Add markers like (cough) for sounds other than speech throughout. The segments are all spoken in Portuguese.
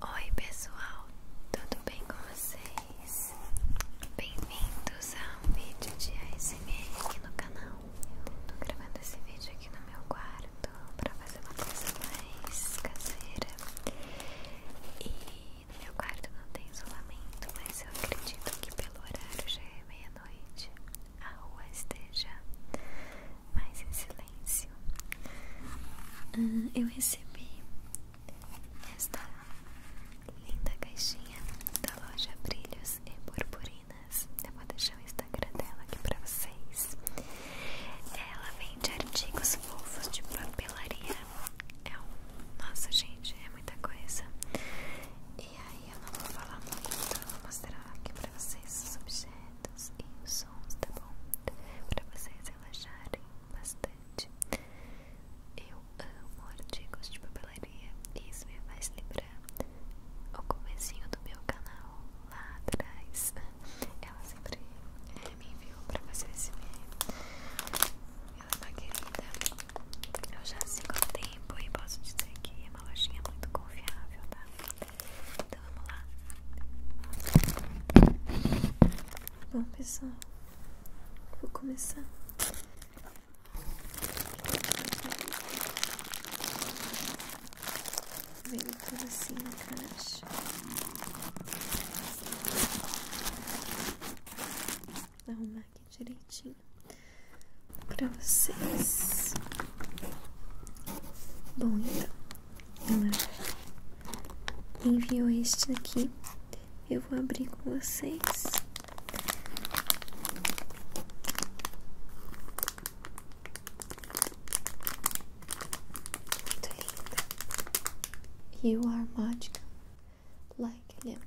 Oi pessoal, tudo bem com vocês? Bem-vindos a um vídeo de ASMR aqui no canal. Eu tô gravando esse vídeo aqui no meu quarto pra fazer uma coisa mais caseira. E no meu quarto não tem isolamento, mas eu acredito que pelo horário já é meia-noite a rua esteja mais em silêncio. eu recebi esta linda caixinha da loja Brilhos e Purpurinas. Eu vou deixar o Instagram dela aqui para vocês. Ela vende artigos fofos de papelaria. É um... Nossa, gente, é muita coisa. E aí eu não vou falar muito, então eu vou mostrar aqui pra vocês os objetos e os sons, tá bom? Pra vocês relaxarem bastante. Eu amo artigos de papelaria e isso me faz lembrar o comecinho do meu canal lá atrás. Ela sempre eh, me enviou pra fazer esse vídeo. Ela é uma querida. Eu já se há tempo e posso dizer que é uma lojinha muito confiável, tá? Então vamos lá. Bom pessoal, vou começar. Veio tudo assim na caixa. Arrumar aqui aqui direitinho para vocês. Bom, então, ela enviou este aqui. Eu vou abrir com vocês. Muito linda. E o Armadica Like Lemon. Né?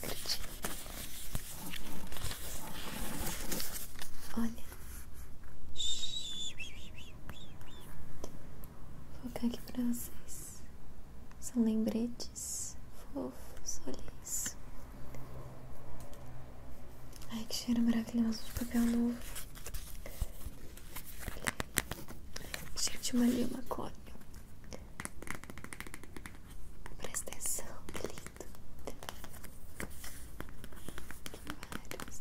Curtiu? Olha. Vou colocar aqui para vocês. São lembretes fofos, olha isso. Ai, que cheiro maravilhoso de papel novo. Cheiro de uma lima Presta atenção, que lindo. Vários.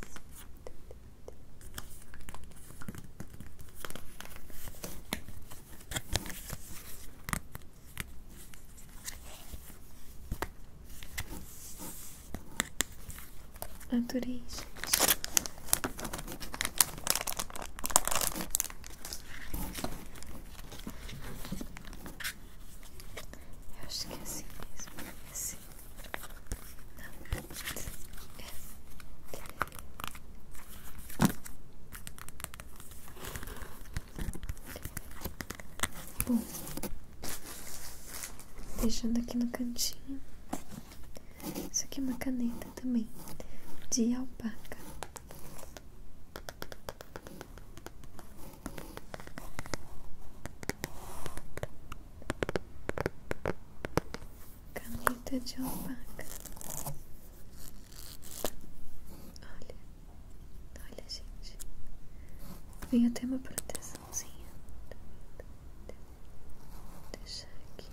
gente. Eu acho que é assim mesmo. assim. Não. É. Bom, deixando aqui no cantinho. Isso aqui é uma caneta também de alpaca. Caneta de alpaca. Olha, olha, gente. Vem até uma proteçãozinha. Deixar aqui.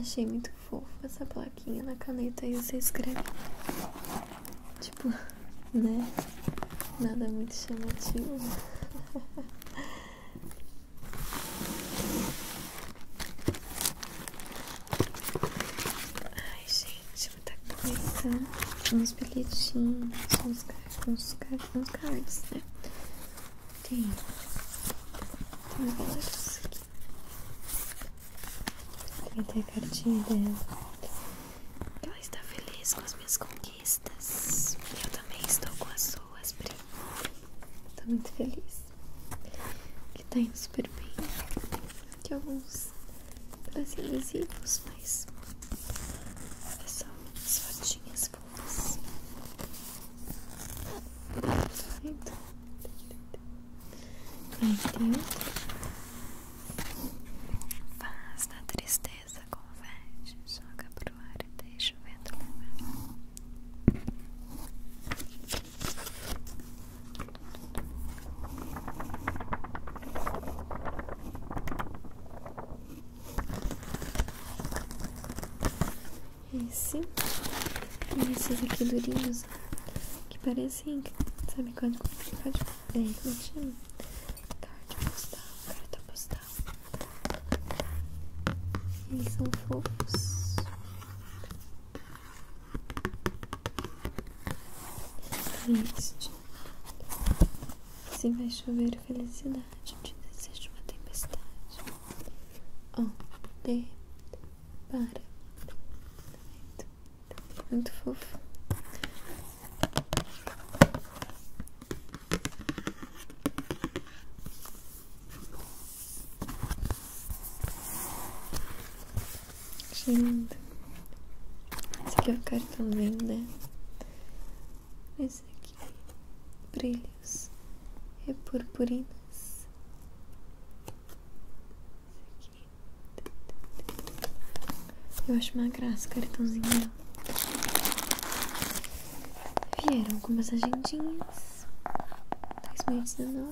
Achei muito fofo essa plaquinha na caneta e você escreve. Tipo, né? Nada muito chamativo. (laughs) Ai, gente, muita coisa. Uns bilhetinhos, uns, uns, uns cards, né? Tem. Tem vários aqui. Tem até a cartinha dela. Ela então, está feliz com as minhas conquistas. Eu também estou com as pessoas, primo. Tô muito feliz. Que tá indo super bem. Aqui alguns assim, adesivos, mas é só umas fotinhas fofas. Então, aí dentro. Faz da tristeza, converte, joga pro ar e deixa o vento levar. Esse e esses aqui é durinhos que parecem, sabe, quando é, como é que tá Carta postal, tá postal. Eles são fofos. Este. Se vai chover felicidade, te desejo uma tempestade. Oh, de para. Muito fofo. Achei lindo. Esse aqui é o cartãozinho né? Esse aqui. Brilhos. e purpurinos Esse aqui. Eu acho uma graça o cartãozinho Vieram algumas agendinhas. 2019.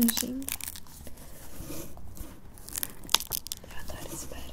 Gente, eu adoro espero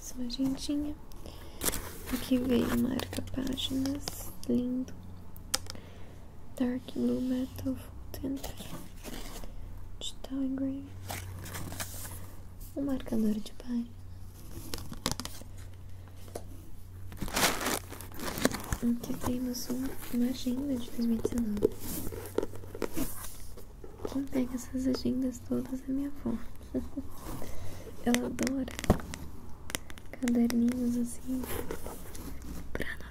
Sua agendinha Aqui vem marca páginas, lindo. Dark Blue Metal Full Digital Engrave. o marcador de página. Aqui temos um, uma agenda de 2019. Quem pega essas agendas todas é minha avó ela (laughs) adora caderninhos assim pra anotar.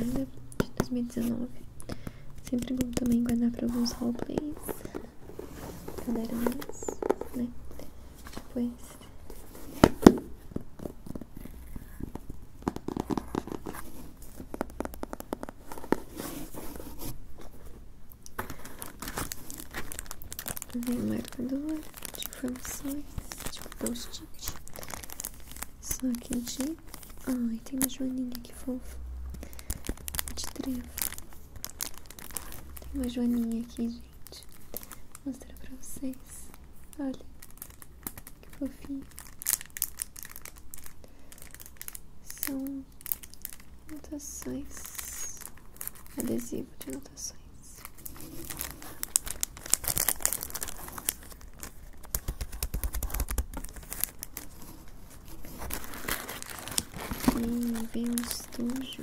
Ainda de 2019. Sempre bom também guardar para alguns roleplays. Cadeirantes, né? Depois Vem um marcador de informações, de tipo post Só que de. Ai, tem uma joaninha que fofa. De trevo. Tem uma joaninha aqui gente. para vocês. Olha, que fofinho. São anotações. Adesivo de anotações. Aqui vem um estojo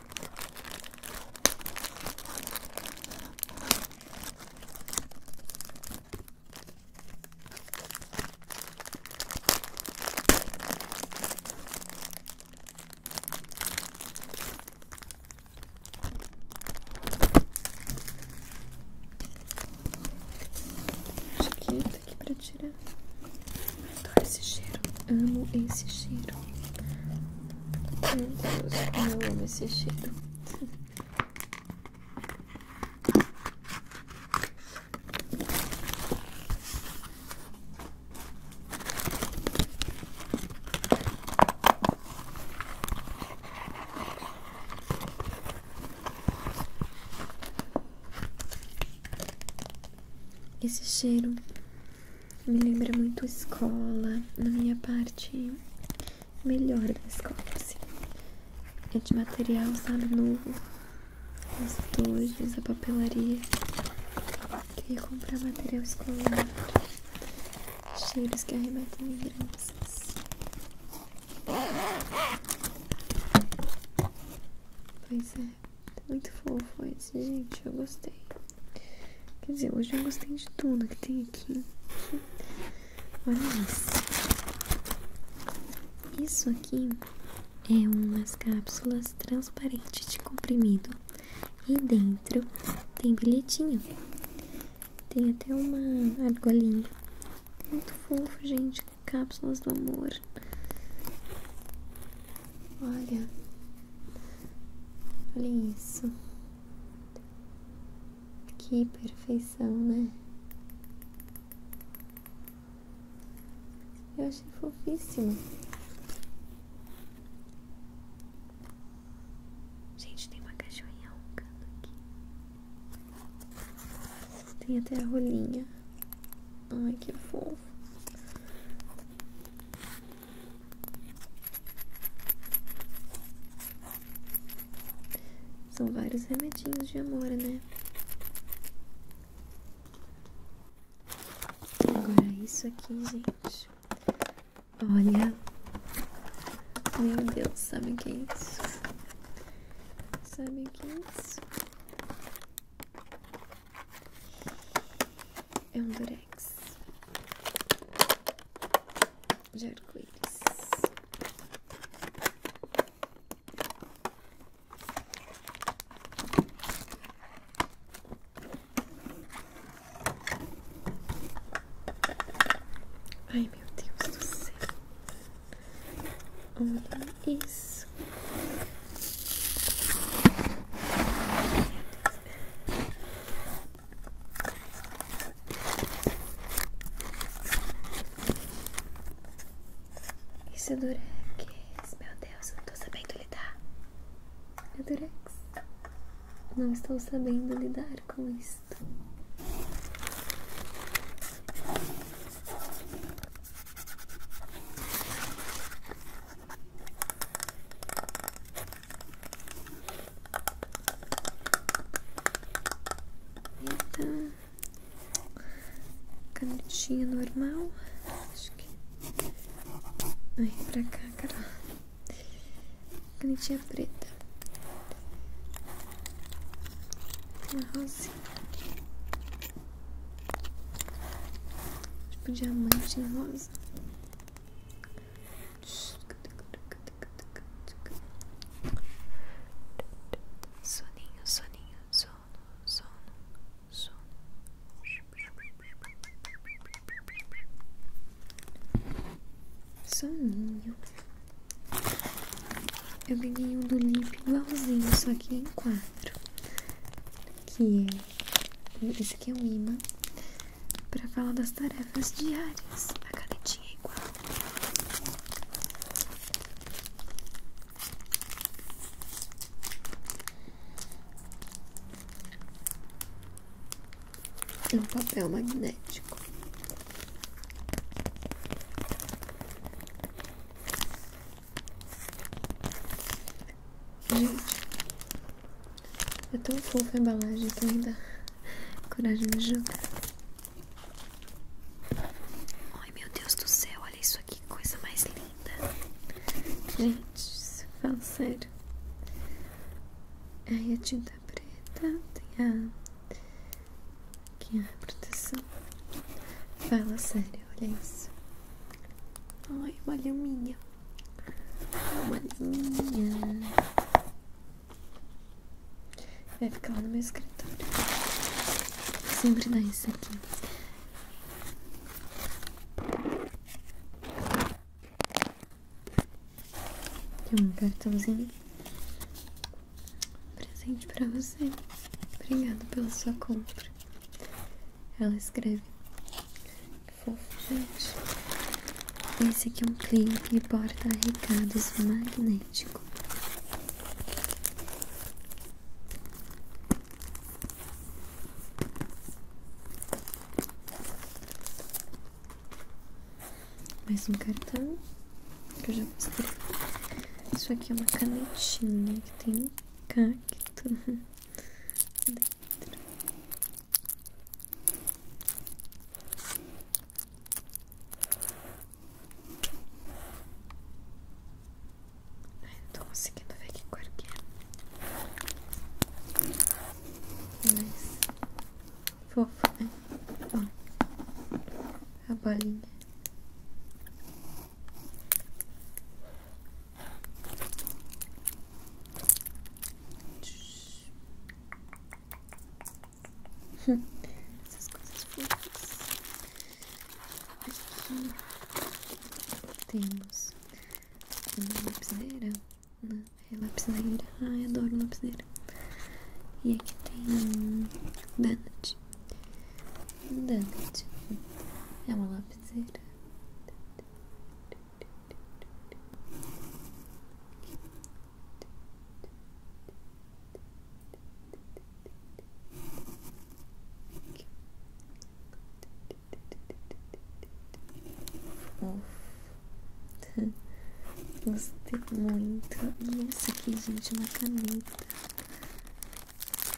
Acho que tá aqui pra tirar. esse cheiro. Amo esse cheiro. Meu Deus, como eu amo esse cheiro. Esse cheiro me lembra muito escola, na minha parte melhor da escola, assim. É de material, sabe, novo. Os tojos, a papelaria. Queria comprar material escolar. Cheiros que arremetem lembranças. Pois é, muito fofo ele. É gente, eu gostei. Quer dizer, hoje eu gostei de tudo que tem aqui. Olha isso. Isso aqui é umas cápsulas transparentes de comprimido. E dentro tem bilhetinho. Tem até uma argolinha. Muito fofo, gente. Cápsulas do amor. Olha, olha isso. Que perfeição, né? Eu achei fofíssimo. Gente, tem uma cachorrinha roncando aqui. Tem até a rolinha. Ai, que fofo. São vários remedinhos de amor, né? Agora é isso aqui, gente. Olha. Meu Deus, sabem o que é isso? Sabe o que é isso? É um durex de arco-íris. Ai, meu Deus do céu. Olha isso. Isso é durex, meu Deus, não estou sabendo lidar. É durex. Não estou sabendo lidar com isso. Então, canetinha normal. Acho que. Ai, pra cá, cara. Canetinha preta. Uma rosinha. Tipo diamante enrolado coisa. Soninho, soninho, sono, sono, sono. Soninho. Eu ganhei um do Lip igualzinho, só que em quatro. Que é isso aqui é um imã para falar das tarefas diárias. A canetinha é igual. É um papel magnético. Gente, é tão fofo a embalagem que ainda coragem de jogar. Ai meu Deus do céu, olha isso aqui, coisa mais linda. Gente, fala sério. Aí a tinta preta tem a. Que a proteção. Fala sério, olha isso. Ai, uma linha. Uma linha. Vai ficar lá no meu escritório. Sempre dá isso aqui. Tem um cartãozinho. Presente pra você. Obrigado pela sua compra. Ela escreve. Que fofo, gente. Esse aqui é um clipe que porta recados magnético. Mais um cartão que eu já mostrei. Isso aqui é uma canetinha que tem um cacto. (laughs) dentro. Ai, não tô conseguindo ver que cor que é. fofo, né? Ó, a bolinha. Essas coisas fofas. Aqui temos uma né, lapiseira. Não, é lapiseira. Ai, adoro lapiseira. E aqui tem um donut. Um É uma observando. Uf. Gostei muito. Nossa, aqui, gente, uma caneta.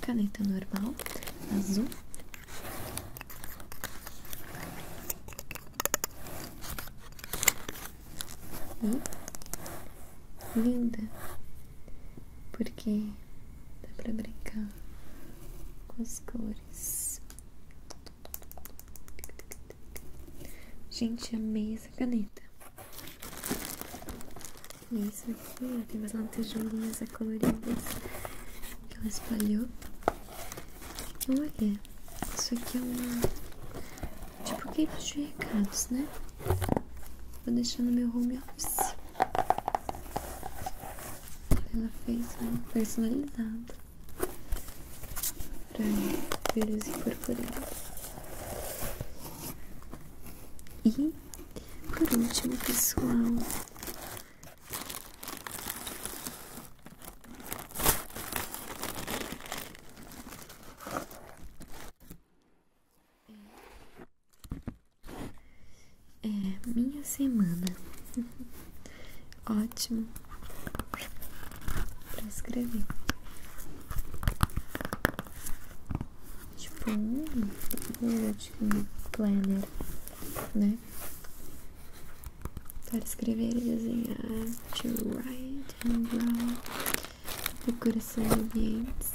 Caneta normal, azul. E hum? linda, porque dá para brincar com as cores. Gente, amei essa caneta. E é isso aqui, tem mais lantejulinhas coloridas que ela espalhou. Então, olha, isso aqui é uma. Tipo cable de recados, né? Vou deixar no meu home office. Ela fez um personalizado para pelos aí e por último, pessoal, é minha semana (laughs) ótimo para escrever. Tipo, um bullet planner, né? Para escrever e desenhar, to write and draw, decoração de ambientes.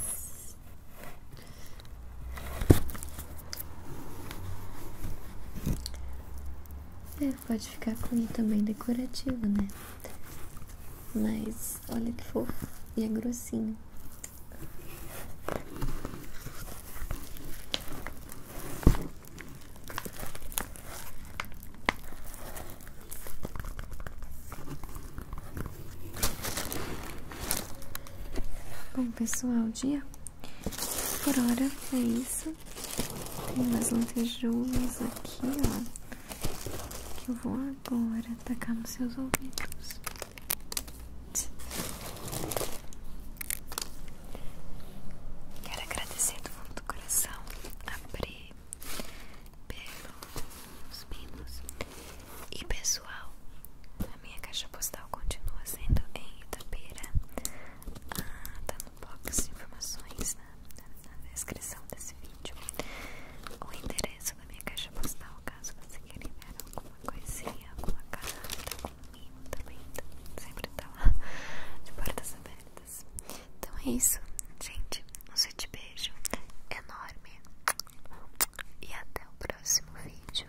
É, pode ficar com i também decorativo, né? Mas olha que fofo. E é grossinho. Bom, pessoal, dia por hora é isso. Tem mais lantejoulas aqui, ó que eu vou é agora atacar nos seus ouvidos. Quero agradecer do fundo do coração a Pri pelos pinos e pessoal. A minha caixa postal continua sendo em Itapeira, Ah, tá no box de informações na, descrição desse vídeo o endereço da minha caixa postal, caso você queira enviar alguma coisinha, alguma carta, algum mimo também, então sempre tá lá de portas abertas. Então é isso, gente. Um suíte beijo enorme e até o próximo vídeo.